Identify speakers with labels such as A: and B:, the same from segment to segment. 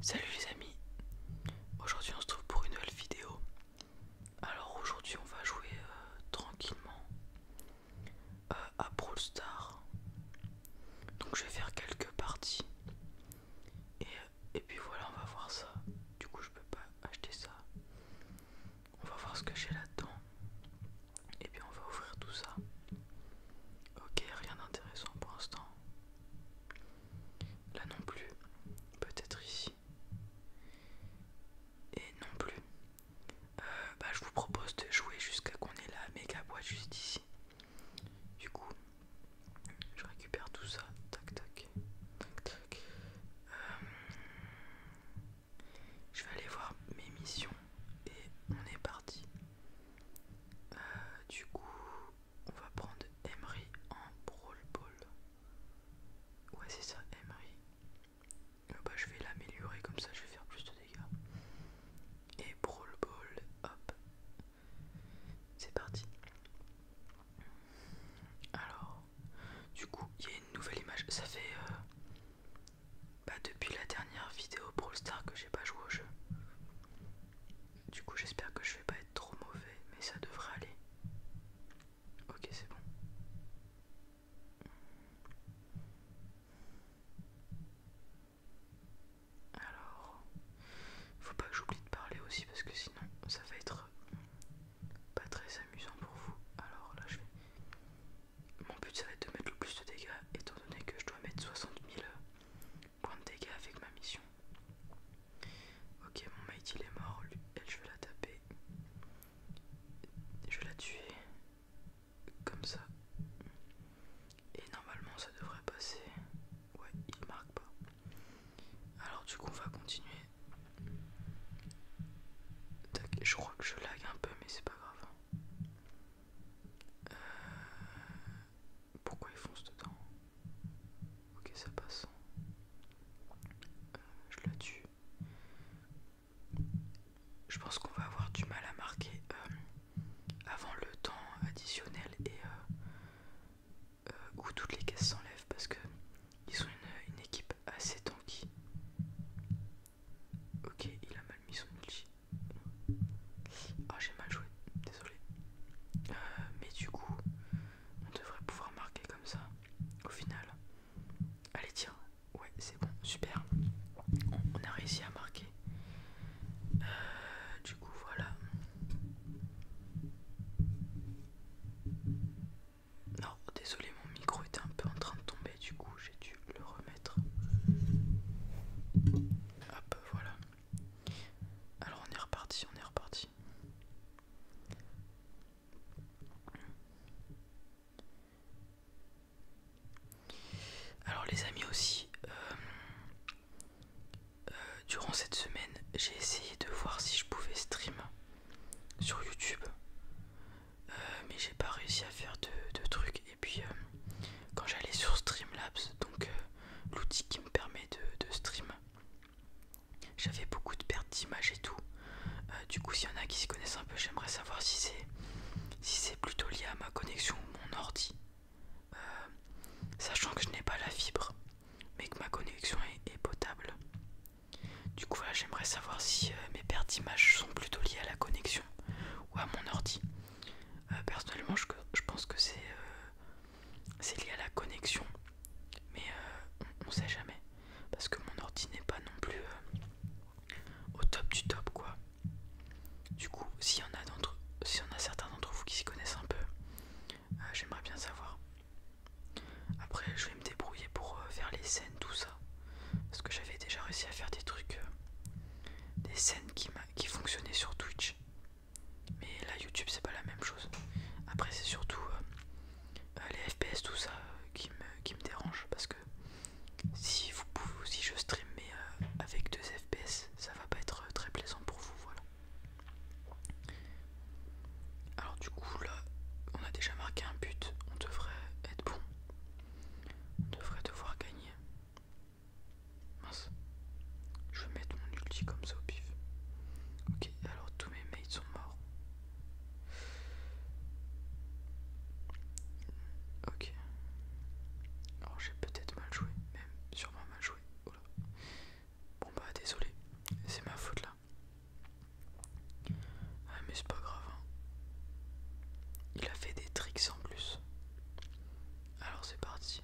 A: Salut les amis, aujourd'hui on se trouve pour une nouvelle vidéo. Alors aujourd'hui on va jouer euh, tranquillement euh, à Brawl Donc je vais faire quelques parties et, euh, et puis voilà on va voir ça. Du coup je peux pas acheter ça. On va voir ce que j'ai là-dedans. Et puis on va ouvrir tout ça. Ok, rien d'intéressant pour l'instant. Là non plus. Peut-être ici. Et non plus. Euh, bah, je vous propose de jouer jusqu'à qu'on ait la méga boîte juste ici. Du coup, je récupère tout ça. Tac, tac. Tac, tac. Euh, je vais aller voir mes missions. Et on est parti. Euh, du coup, on va prendre Emery en Brawl Ball. Ouais, c'est ça, Emery. Oh, bah, je vais l'améliorer comme ça, je vais faire plus de dégâts. Et Brawl Ball, hop. C'est parti. Alors, du coup, il y a une nouvelle image. Ça fait. Euh, bah, depuis la dernière vidéo Brawl Star que j'ai pas joué au jeu. Du coup, j'espère que je vais pas être trop mauvais, mais ça devrait aller. Ok, c'est bon. Alors, faut pas que j'oublie de parler aussi parce que sinon ça va être pas très amusant pour vous. Alors là, je vais. Mon but ça va être de mettre le plus de dégâts étant donné que je dois mettre 60 000 Point de dégâts avec ma mission. Ok, mon mate il est mort. elle, je vais la taper. Je vais la tuer. Comme ça. Et normalement, ça devrait passer. Ouais, il marque pas. Alors, du coup, on va continuer. je crois que je lag un peu, mais c'est pas grave. Euh, pourquoi il fonce dedans Ok, ça passe. Euh, je la tue. Je pense qu'on va avoir du mal à marquer euh, avant le temps additionnel et euh, où toutes les caisses s'enlèvent parce que ils sont une, une équipe assez tanky. Ok, il a mal mis son ulti oh, j'ai mal joué, désolé. Euh, mais du coup, on devrait pouvoir marquer comme ça au final. Allez, tiens Ouais, c'est bon, super. On, a réussi à marquer. Euh, du coup, voilà. Non, désolé, mon micro était un peu en train de tomber, du coup, j'ai dû le remettre. Hop, voilà. Alors on est reparti, on est reparti. Alors les amis aussi, euh, euh, durant cette semaine, j'ai essayé de voir si je pouvais stream sur YouTube, euh, mais j'ai pas réussi à faire de, de trucs et puis euh, quand j'allais sur Streamlabs, donc euh, l'outil qui me permet de, stream, j'avais beaucoup de pertes d'images et tout. Euh, du coup, s'il y en a qui se connaissent un peu, j'aimerais savoir si c'est si c'est plutôt lié à ma connexion ou mon ordi, sachant que je n'ai pas la fibre, mais que ma connexion est, potable. Du coup, voilà, j'aimerais savoir si mes pertes d'image sont plutôt liées à la connexion ou à mon ordi. Euh, personnellement, je, pense que euh, c'est lié à la connexion, mais euh, on, ne sait jamais parce que mon ordi n'est pas non plus au top du top, quoi. Du coup, s'il y en a si on a certains d'entre vous qui s'y connaissent un peu, j'aimerais bien savoir. Après, je vais me débrouiller pour faire les scènes, tout ça. Parce que j'avais déjà réussi à faire des trucs des scènes qui, fonctionnaient sur Twitch. Mais là, YouTube, c'est pas la même chose. Après, c'est surtout euh, euh, les FPS, tout ça, euh, qui, me, dérange. Parce que si, vous pouvez, si je streamer avec deux FPS, ça va pas être très plaisant pour vous. Voilà. Alors, du coup, là, on a déjà marqué un but. On devrait être bon. On devrait devoir gagner. Mince. Je vais mettre mon ulti comme ça au pif. Ok, alors tous mes mates sont morts. Ok. Alors j'ai peut-être mal joué, même sûrement mal joué. Oh bon bah désolé, c'est ma faute là. Ah mais c'est pas grave. Hein. Il a fait des tricks en plus. Alors c'est parti.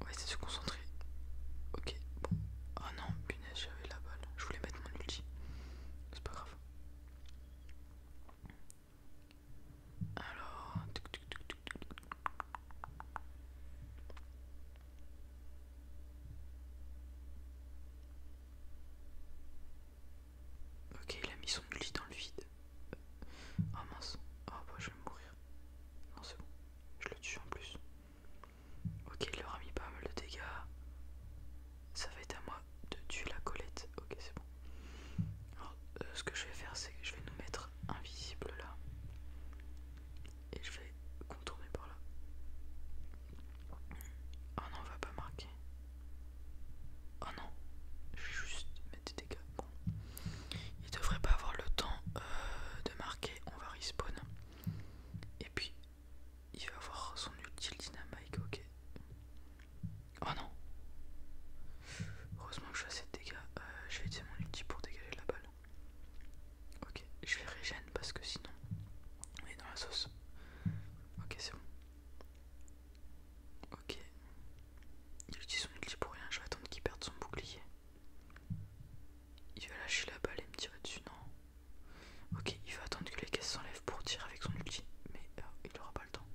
A: On va essayer de se concentrer. Ok, bon. Ah oh non, punaise, j'avais la balle. Je voulais mettre mon ulti. C'est pas grave. Alors... Ok, il a mis son lit dans le vide. Oh mince, oh bah je vais mourir. Non, c'est bon, je le tue en plus. Ok, il leur a mis pas mal de dégâts. Ça va être à moi de tuer la colette. Ok, c'est bon. Alors, euh, ce que je vais faire, c'est que je vais nous mettre invisible là. Et je vais contourner par là. Oh non, on va pas marquer. Oh non, je vais juste dégâts. Il devrait pas avoir le temps euh, de marquer. On va respawn. Et puis il va avoir son utile dynamite. Ok. Oh non. Heureusement que je fais assez de dégâts. Euh, je vais utiliser mon ulti pour dégager la balle. Ok, je vais régène parce que sinon on est dans la sauce. Ok, c'est bon. Ok. Il utilise son ulti pour rien, je vais attendre qu'il perde son bouclier. Il va lâcher la balle et me tirer dessus, non Ok, il va attendre que les caisses s'enlèvent pour tirer avec son ulti, mais euh, il n'aura pas le temps.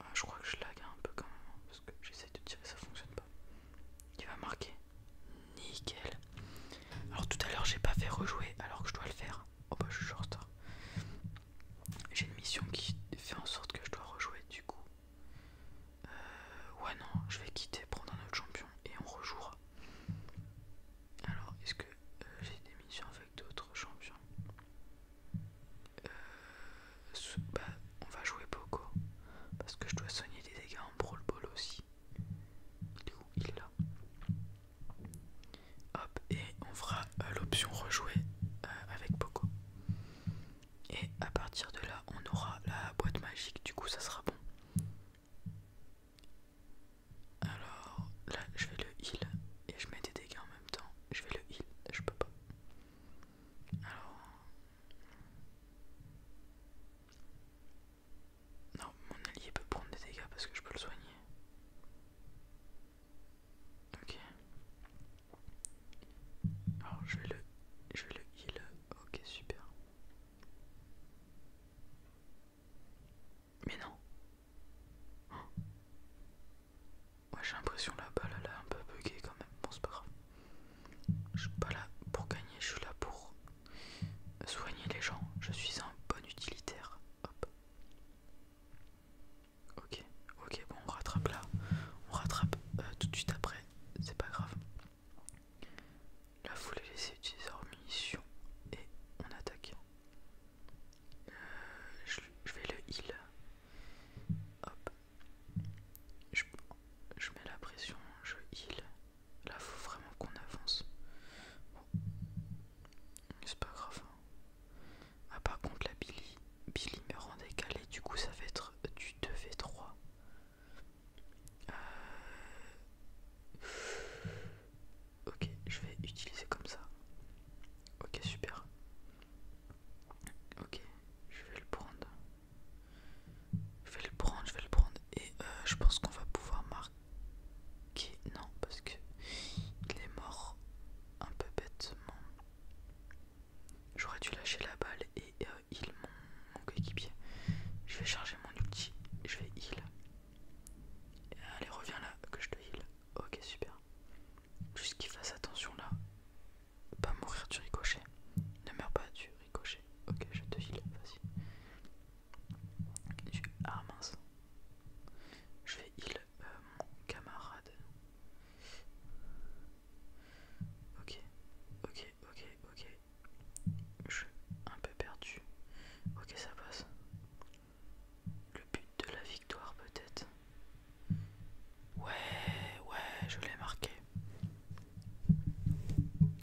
A: Ah, je crois que je lag un peu quand même, hein, parce que j'essaye de tirer, ça fonctionne pas. Il va marquer. Nickel. Alors tout à l'heure j'ai pas fait rejouer alors que je dois le faire. Oh bah je suis en retard. J'ai une mission qui fait en sorte que je dois rejouer du coup. Euh, ouais non, je vais quitter, prendre un autre champion et on rejouera. Alors, est-ce que euh, j'ai des missions avec d'autres champions euh, bah, On va jouer beaucoup Parce que je dois soigner des dégâts en Brawl Ball aussi. Il est où Il est là. Hop, et on fera euh, l'option rejouer euh, avec Poco. Et à partir de là, on aura la boîte magique, du coup ça sera bon. Alors là, je vais le heal et je mets des dégâts en même temps. Je vais le heal, je peux pas. Alors. Non, mon allié peut prendre des dégâts parce que je peux le soigner. Ok. Alors je vais le, je le heal. Ok super. Mais non. j'ai l'impression la balle a un peu bugué quand même. Bon c'est pas grave. Je suis pas là pour gagner, je suis là pour soigner les gens. Je suis un bon utilitaire. Hop. Ok, ok, bon, on rattrape là. On rattrape euh, tout de suite après, c'est pas grave. Là, faut les laisser utiliser leur munition et on attaque. Euh, je, vais le heal. Hop. Je, mets la pression, je heal. Là, faut vraiment qu'on avance. C'est pas grave, hein. Ah par contre la Billy, Billy me rend décalé du coup ça va être du 2v3. Euh, ok, je vais utiliser comme ça. Ok, super. Ok, je vais le prendre. Je vais le prendre, je vais le prendre. Et euh, je pense qu'on va pouvoir marquer. Ok, non parce que il est mort un peu bêtement j'aurais dû lâcher la balle et il euh, mon, coéquipier je vais charger mon ulti je vais heal allez reviens là que je te heal ok super juste qu'il fasse attention là pas mourir du ricochet ne meurs pas du ricochet ok je te heal vas-y ah mince je vais heal mon euh, camarade. Ok, ok, ok, ok. Je suis un peu perdu. Ok, ça passe. Le but de la victoire peut-être. Ouais, ouais, je l'ai marqué.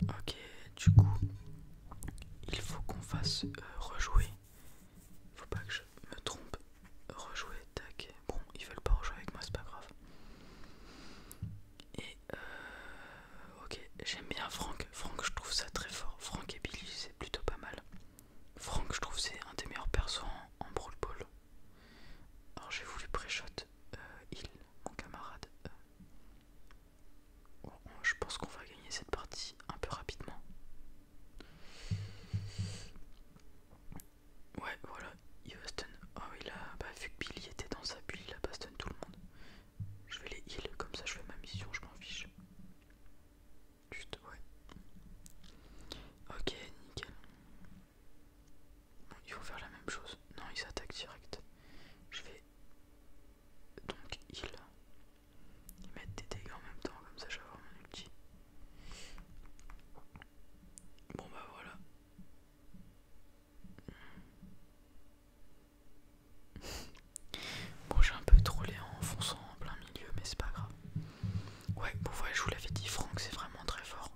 A: Ok, du coup, il faut qu'on fasse euh, rejouer faut pas que je me trompe. Rejouer, tac. Bon, ils veulent pas rejouer avec moi, c'est pas grave. Et euh, ok, j'aime bien Franck. Franck, je trouve ça très fort. Franck et Billy, c'est plutôt pas mal. Franck, je trouve c'est un des meilleurs persos en, Brawl Ball. Alors j'ai voulu pré-shot euh, il, mon camarade. Euh, bon, je pense qu'on va gagner cette partie un peu rapidement. Ouais, voilà, il va stun. Oh, il a... bah, vu que Billy était dans sa bulle, il a pas stun tout le monde. Je vais les heal, comme ça je fais ma mission, je m'en fiche. Juste, ouais. Ok, nickel. Bon, ils vont faire la même chose. Non, ils attaquent direct. Je vais donc heal. Ils mettent des dégâts en même temps, comme ça je vais avoir mon outil. Bon bah voilà. Bon j'ai un peu trollé en fonçant en plein milieu mais c'est pas grave. Ouais bon je vous l'avais dit Franck c'est vraiment très fort.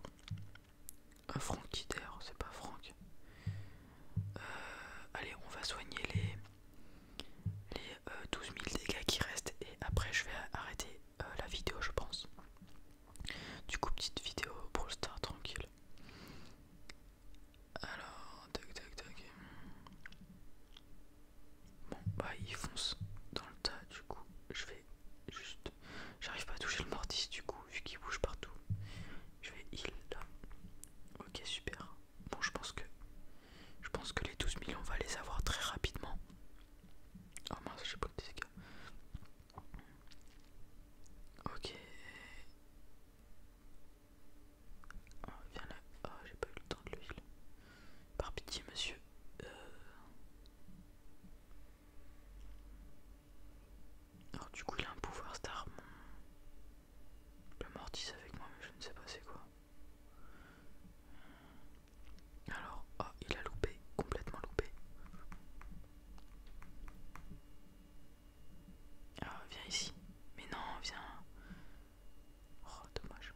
A: un euh, Franck c'est pas Franck. Euh, allez on va soigner les les 12 euh, 000 dégâts qui restent et après je vais arrêter euh, la vidéo je pense du coup petite vidéo pour le star tranquille alors tac tac tac bon bah il fonce dans le tas du coup je vais juste j'arrive pas à toucher le mortis du coup vu qu'il bouge partout je vais heal là ok super bon je pense que je pense que les 12 millions on va les avoir très rapidement oh mince j'ai pas le disque ok oh, viens là oh, j'ai pas eu le temps de le lire par pitié monsieur euh. alors du coup il a un pouvoir star le mortis avec moi mais je ne sais pas c'est quoi alors, ah, il a loupé, complètement loupé. Ah, viens ici. Mais non, viens. Oh, dommage.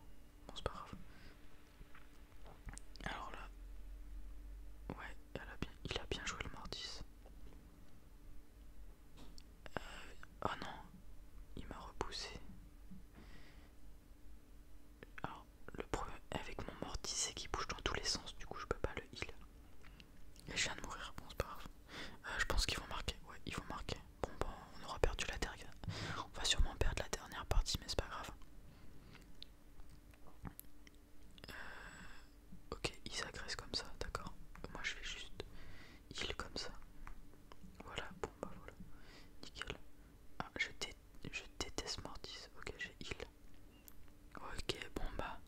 A: Bon, c'est pas grave. Alors là. Ouais, il a bien joué le mordis. Euh, oh non, il m'a repoussé. Alors, le problème avec mon mortis, c'est qu'il bouge dans tous les sens, du coup, je peux pas le heal. Et je viens de mourir, bon, c'est pas grave. Euh, je pense qu'ils vont marquer, ouais, ils vont marquer. Bon, bon, bah, on aura perdu la dernière. On va sûrement perdre la dernière partie, mais c'est pas grave. Euh, ok, ils s'agressent comme ça, d'accord. Moi, je vais juste heal comme ça. Voilà, bon bah voilà. Nickel. Ah, je, je déteste Mortis. Ok, j'ai heal. Ok, bon bah.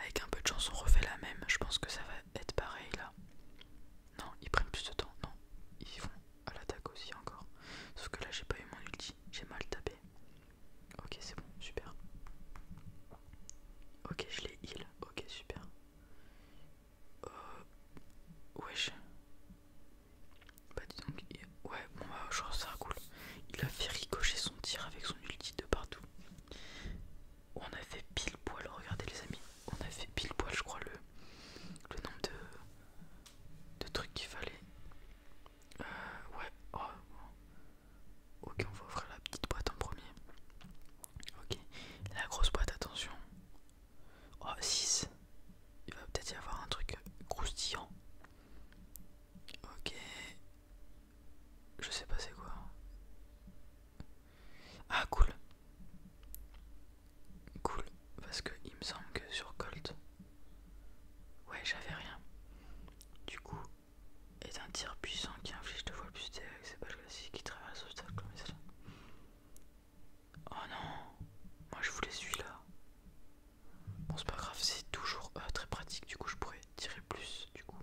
A: Avec un peu de chance, on refait la même. Je pense que ça va être pareil là. Non, ils prennent plus de temps. Non, ils vont à l'attaque aussi encore. Sauf que là, j'ai pas eu mon ulti. J'ai mal tapé. Ok, c'est bon, super. Ok, je l'ai heal. Ok, super. Euh, wesh. Bah dis donc, ouais, bon bah je trouve ça cool. Il a fait ricocher son tir avec son ulti de partout. On a fait pile poil, regardez les amis. On a fait pile poil, je crois, le, le nombre de, de trucs qu'il fallait. Euh, ouais, oh. ok, on va ouvrir la petite boîte en premier. Ok, la grosse boîte, attention. Oh 6. Il va peut-être y avoir un truc croustillant. Ok. Je sais pas c'est quoi. Ah cool. Cool. Parce que il me semble que sur Colt. Ouais j'avais rien. Du coup. Est un tir puissant qui inflige deux fois plus de c'est que le balles classiques qui traverse l'obstacle comme ça. Oh non, moi je voulais celui-là. Bon c'est pas grave, c'est toujours euh, très pratique, du coup je pourrais tirer plus du coup.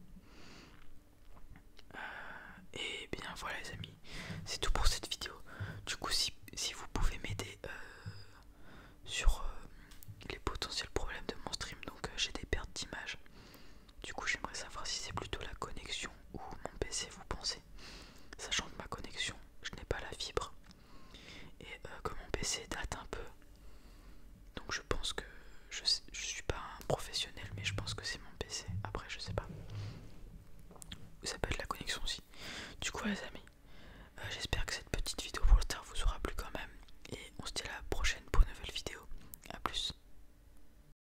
A: Euh, et bien voilà les amis, c'est tout pour cette vidéo. Du coup si, vous pouvez m'aider euh, sur les potentiels problèmes de mon stream, donc j'ai des pertes d'image du coup, j'aimerais savoir si c'est plutôt la connexion ou mon PC, vous pensez Sachant que ma connexion, je n'ai pas la fibre et euh, que mon PC date un peu. Donc, je pense que je, ne suis pas un professionnel, mais je pense que c'est mon PC. Après, je sais pas. Ça peut être la connexion aussi. Du coup, les amis, euh, j'espère que cette petite vidéo pour le tard vous aura plu quand même. Et on se dit à la prochaine pour une nouvelle vidéo. A plus.